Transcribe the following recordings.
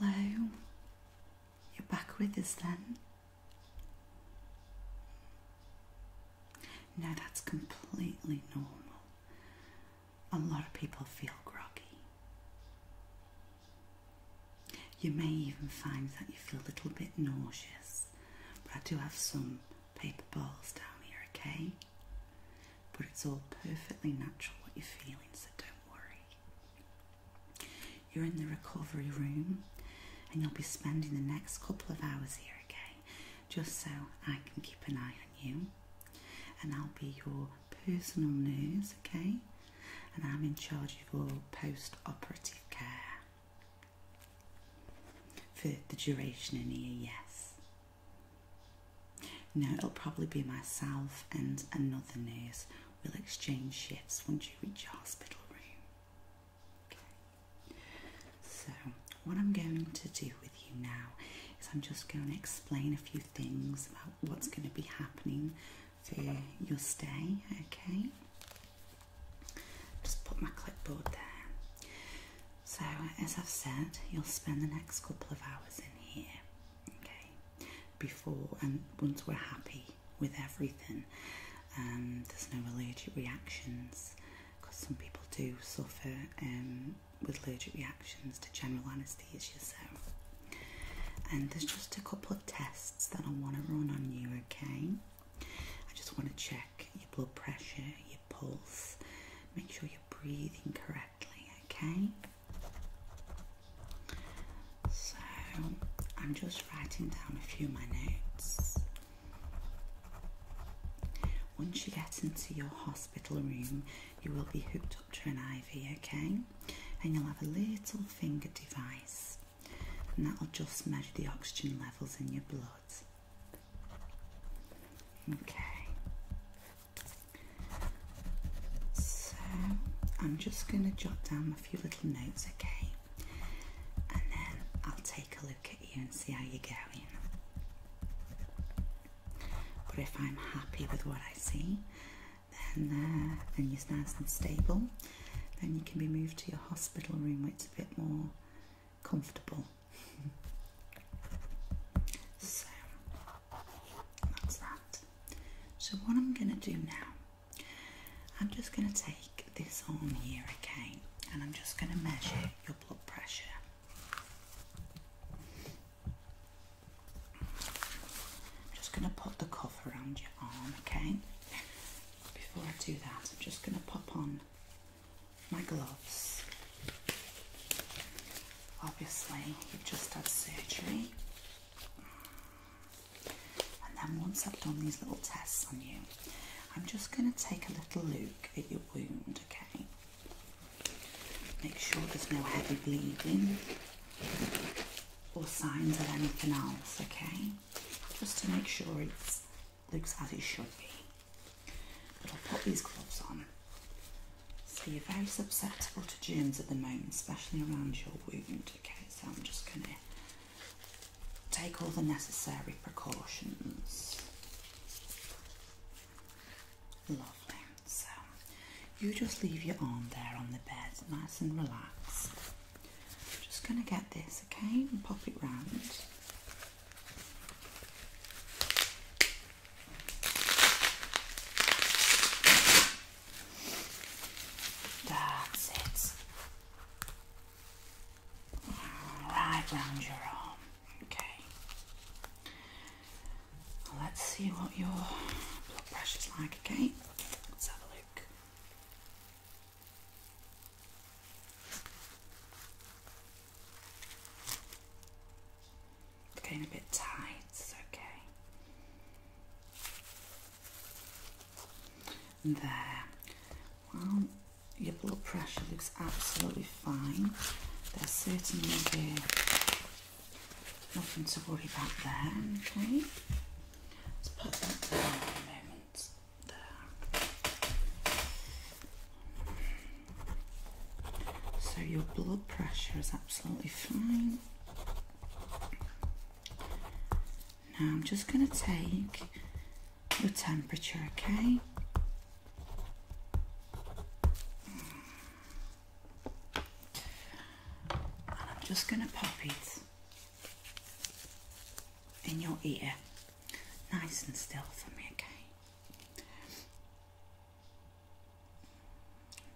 Hello, you're back with us then? No, that's completely normal a lot of people feel groggy. You may even find that you feel a little bit nauseous, but I do have some paper balls down here, okay? But it's all perfectly natural what you're feeling, so don't worry. You're in the recovery room and you'll be spending the next couple of hours here, okay? Just so I can keep an eye on you and I'll be your personal nurse, okay, and I'm in charge of all post operative care for the duration in here, yes. No, it'll probably be myself and another nurse. We'll exchange shifts once you reach your hospital room. Okay. So, what I'm going to do with you now is I'm just going to explain a few things about what's mm-hmm. going to be happening for your stay. Okay, just put my clipboard there. So, as I've said, you'll spend the next couple of hours in here. Okay, before and once we're happy with everything, um, there's no allergic reactions because some people do suffer um, with allergic reactions to general anesthesia. So, and there's just a couple of tests that I want to run on you, okay? I just want to check your blood pressure, your pulse, make sure you're breathing correctly, okay? So, I'm just writing down a few of my notes. Once you get into your hospital room, you will be hooked up to an IV, okay? And you'll have a little finger device, and that'll just measure the oxygen levels in your blood. Okay. So I'm just going to jot down a few little notes, okay? And then I'll take a look at you and see how you're going. But if I'm happy with what I see, then uh, then you're nice and stable. Then you can be moved to your hospital room, where it's a bit more comfortable. so that's that. So what I'm gonna do now, I'm just gonna take this arm here, okay, and I'm just gonna measure your blood pressure. I'm just going to put the cuff around your arm, okay? Before I do that, I'm just going to pop on my gloves. Obviously, you've just had surgery. And then once I've done these little tests on you, I'm just going to take a little look at your wound, okay? Make sure there's no heavy bleeding or signs of anything else, okay? Just to make sure it looks as it should be. But I'll put these gloves on. So you're very susceptible to germs at the moment, especially around your wound, okay? So I'm just going to take all the necessary precautions. Lovely. So you just leave your arm there on the bed, nice and relaxed. just going to get this, okay, pop it round. That's it. Right round your arm. Okay. let's see what your blood pressure's like, okay? Let's have a look. It's a bit tight, it's okay. there. One, your blood pressure looks absolutely fine. There's certainly nothing to worry about there, okay? Let's put that down a moment. There. So your blood pressure is absolutely fine. Now I'm just going to take your temperature, okay? And I'm just going to pop it in your ear, nice and still for me, okay?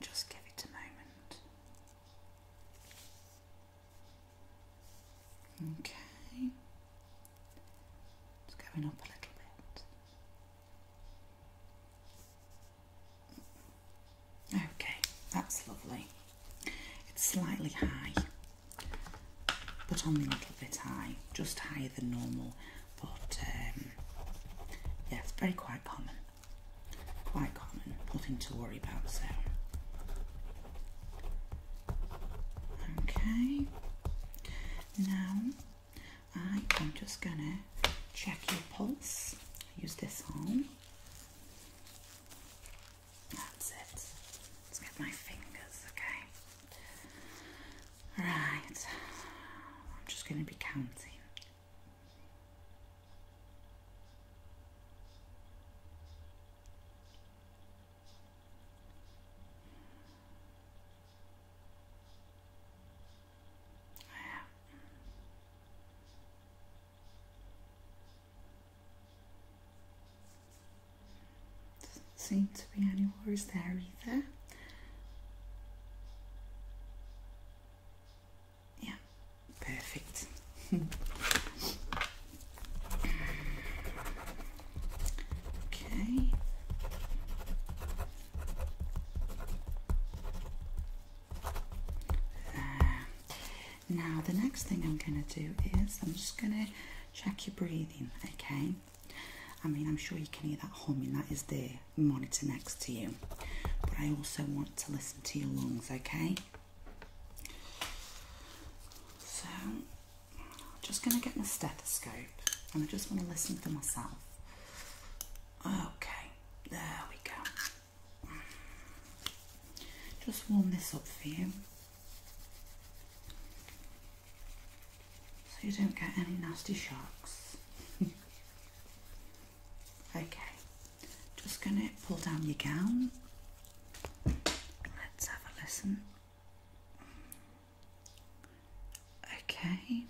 Just give it a moment. Okay. It's going up a little bit. Okay, that's lovely. It's slightly high, but only a little bit high, just higher than normal. But um, yeah, it's very quite common, quite common. Nothing to worry about. So Okay, now I am just gonna check your pulse. Use this arm. That's it. Let's get my fingers, okay? Right, I'm just going to be counting. Doesn't seem to be any worries there either. Yeah, perfect. Okay. There. Now, the next thing I'm going to do is I'm just going to check your breathing, okay? I mean, I'm sure you can hear that humming, that is the monitor next to you. But I also want to listen to your lungs, okay? So I'm just going to get my stethoscope and I just want to listen for myself. Okay, there we go. Just warm this up for you. So you don't get any nasty shocks. okay, just going to pull down your gown Let's have a listen. Okay.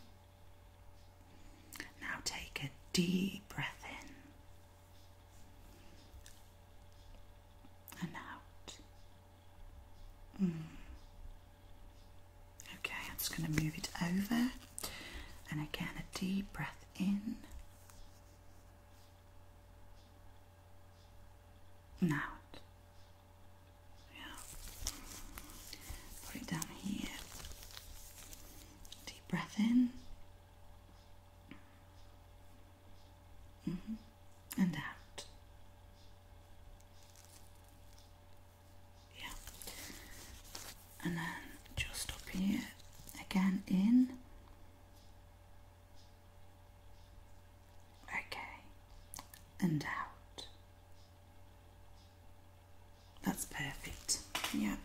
Now take a deep breath in and out. Mm. Okay, I'm just going to move it over. And again, a deep breath in and out. Yeah. Put it down here. Deep breath in. Mm-hmm. And out. Yeah. And then just up here again in Okay, and out. That's perfect. Yeah,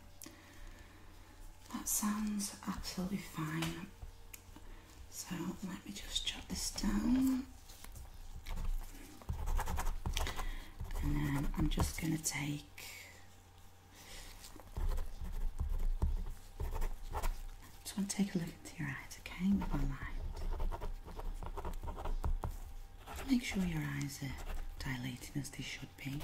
that sounds absolutely fine. So let me just jot this down. And then I'm just going to take I just want to take a look into your eyes, okay, with my light. Make sure your eyes are dilating as they should be.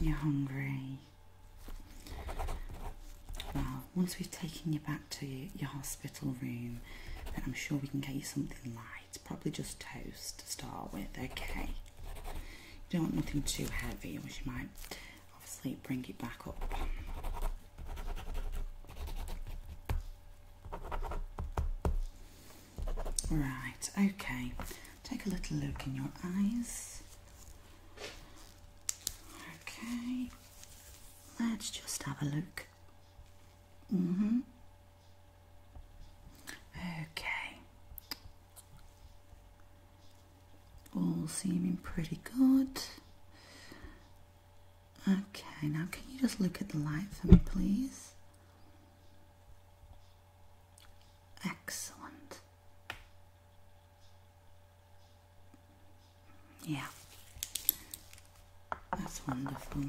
You're hungry. Well, once we've taken you back to your hospital room, then I'm sure we can get you something light it's probably just toast to start with, okay? You don't want nothing too heavy, which you might obviously bring it back up. Right, okay. Take a little look in your eyes. Okay, let's just have a look Mm-hmm. Okay. All seeming pretty good. Okay, now can you just look at the light for me, please? Excellent. Yeah. That's wonderful.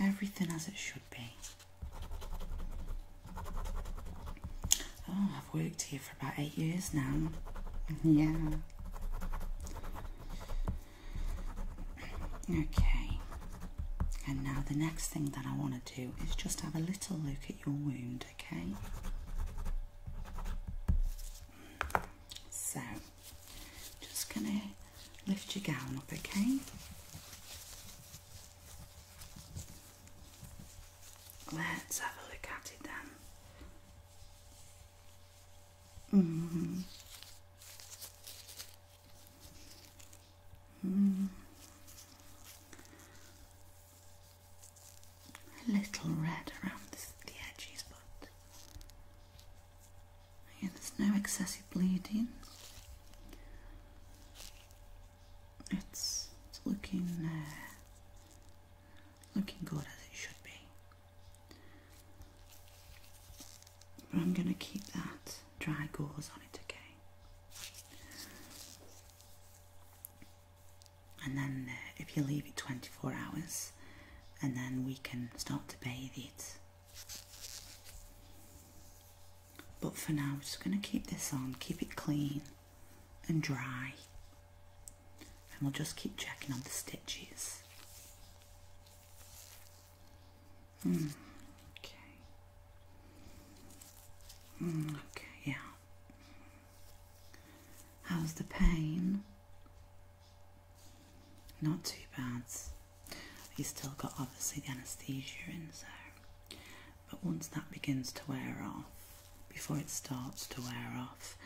Everything as it should be. Oh, I've worked here for about eight years now. yeah. Okay. And now the next thing that I want to do is just have a little look at your wound, okay? So just gonna lift your gown up, okay? Let's have a look at it then. Mm -hmm. A little red around the edges, but yeah, there's no excessive bleeding. It's, it's looking uh, looking good as it should be. I'm going to keep that dry gauze on it, okay? and then uh, if you leave it 24 hours and then we can start to bathe it but for now we're just going to keep this on keep it clean and dry and we'll just keep checking on the stitches hmm, okay hmm, okay yeah how's the pain not too bad. You still got obviously the anaesthesia in so but once that begins to wear off, before it starts to wear off,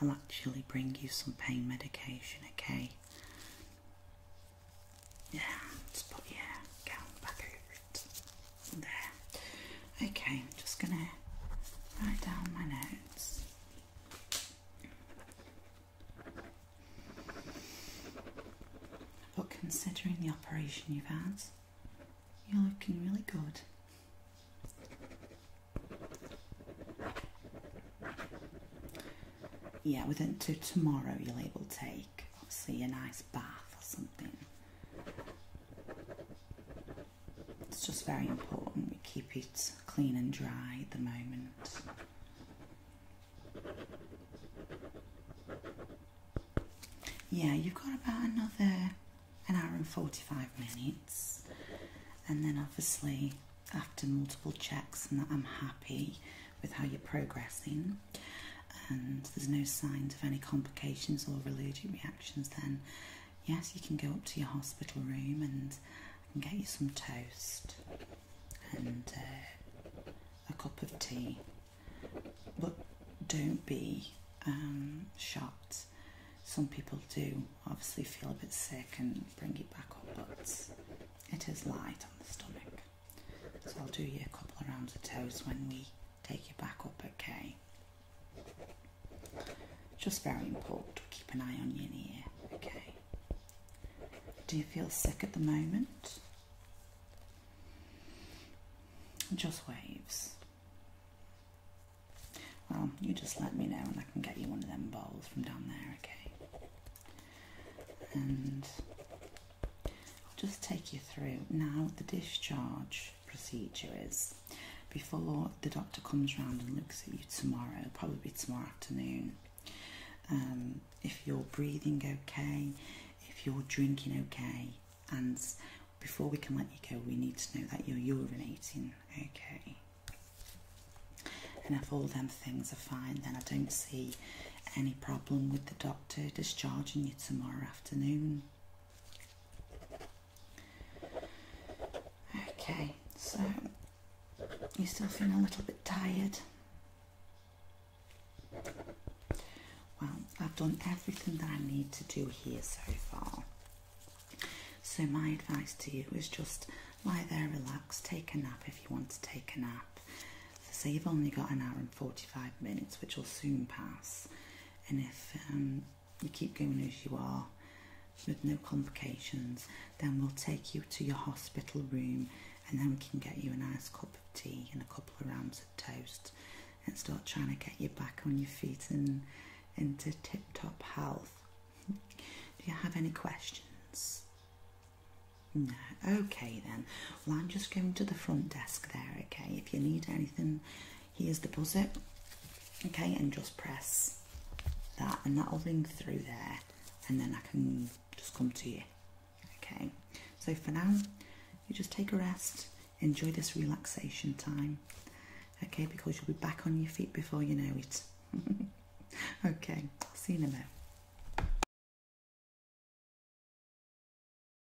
I'll actually bring you some pain medication, okay? Yeah, put your gown back over it. There. Okay, I'm just gonna write down my notes. But considering the operation you've had, you're looking really good. Yeah, within to tomorrow you'll able to take obviously a nice bath or something. It's just very important we keep it clean and dry at the moment. Yeah, you've got about another an hour and 45 minutes, and then obviously, after multiple checks, and that I'm happy with how you're progressing, and there's no signs of any complications or allergic reactions, then Yes, you can go up to your hospital room and get you some toast and uh, a cup of tea. But don't be um, shocked. Some people do obviously feel a bit sick and bring it back up, but it is light on the stomach. So I'll do you a couple of rounds of toast when we take you back up, okay? Just very important to keep an eye on your ear, okay? Do you feel sick at the moment? Just waves. Well, you just let me know and I can get you one of them bowls from down there, okay? And I'll just take you through. Now, the discharge procedure is before the doctor comes round and looks at you tomorrow, probably tomorrow afternoon. Um, if you're breathing okay, if you're drinking okay, and before we can let you go, we need to know that you're urinating okay. And if all them things are fine, then I don't see any problem with the doctor discharging you tomorrow afternoon. Okay, so you're still feeling a little bit tired. Well, I've done everything that I need to do here so far. So my advice to you is just lie there, relax, take a nap if you want to take a nap. So you've only got an hour and 45 minutes, which will soon pass. And if um, you keep going as you are with no complications, then we'll take you to your hospital room and then we can get you a nice cup of tea and a couple of rounds of toast and start trying to get you back on your feet and into tip top health. Do you have any questions? No. Okay then. Well, I'm just going to the front desk there, okay? If you need anything, here's the buzzer okay and just press that and that'll ring through there and then I can just come to you okay so for now you just take a rest enjoy this relaxation time okay because you'll be back on your feet before you know it okay see you in a minute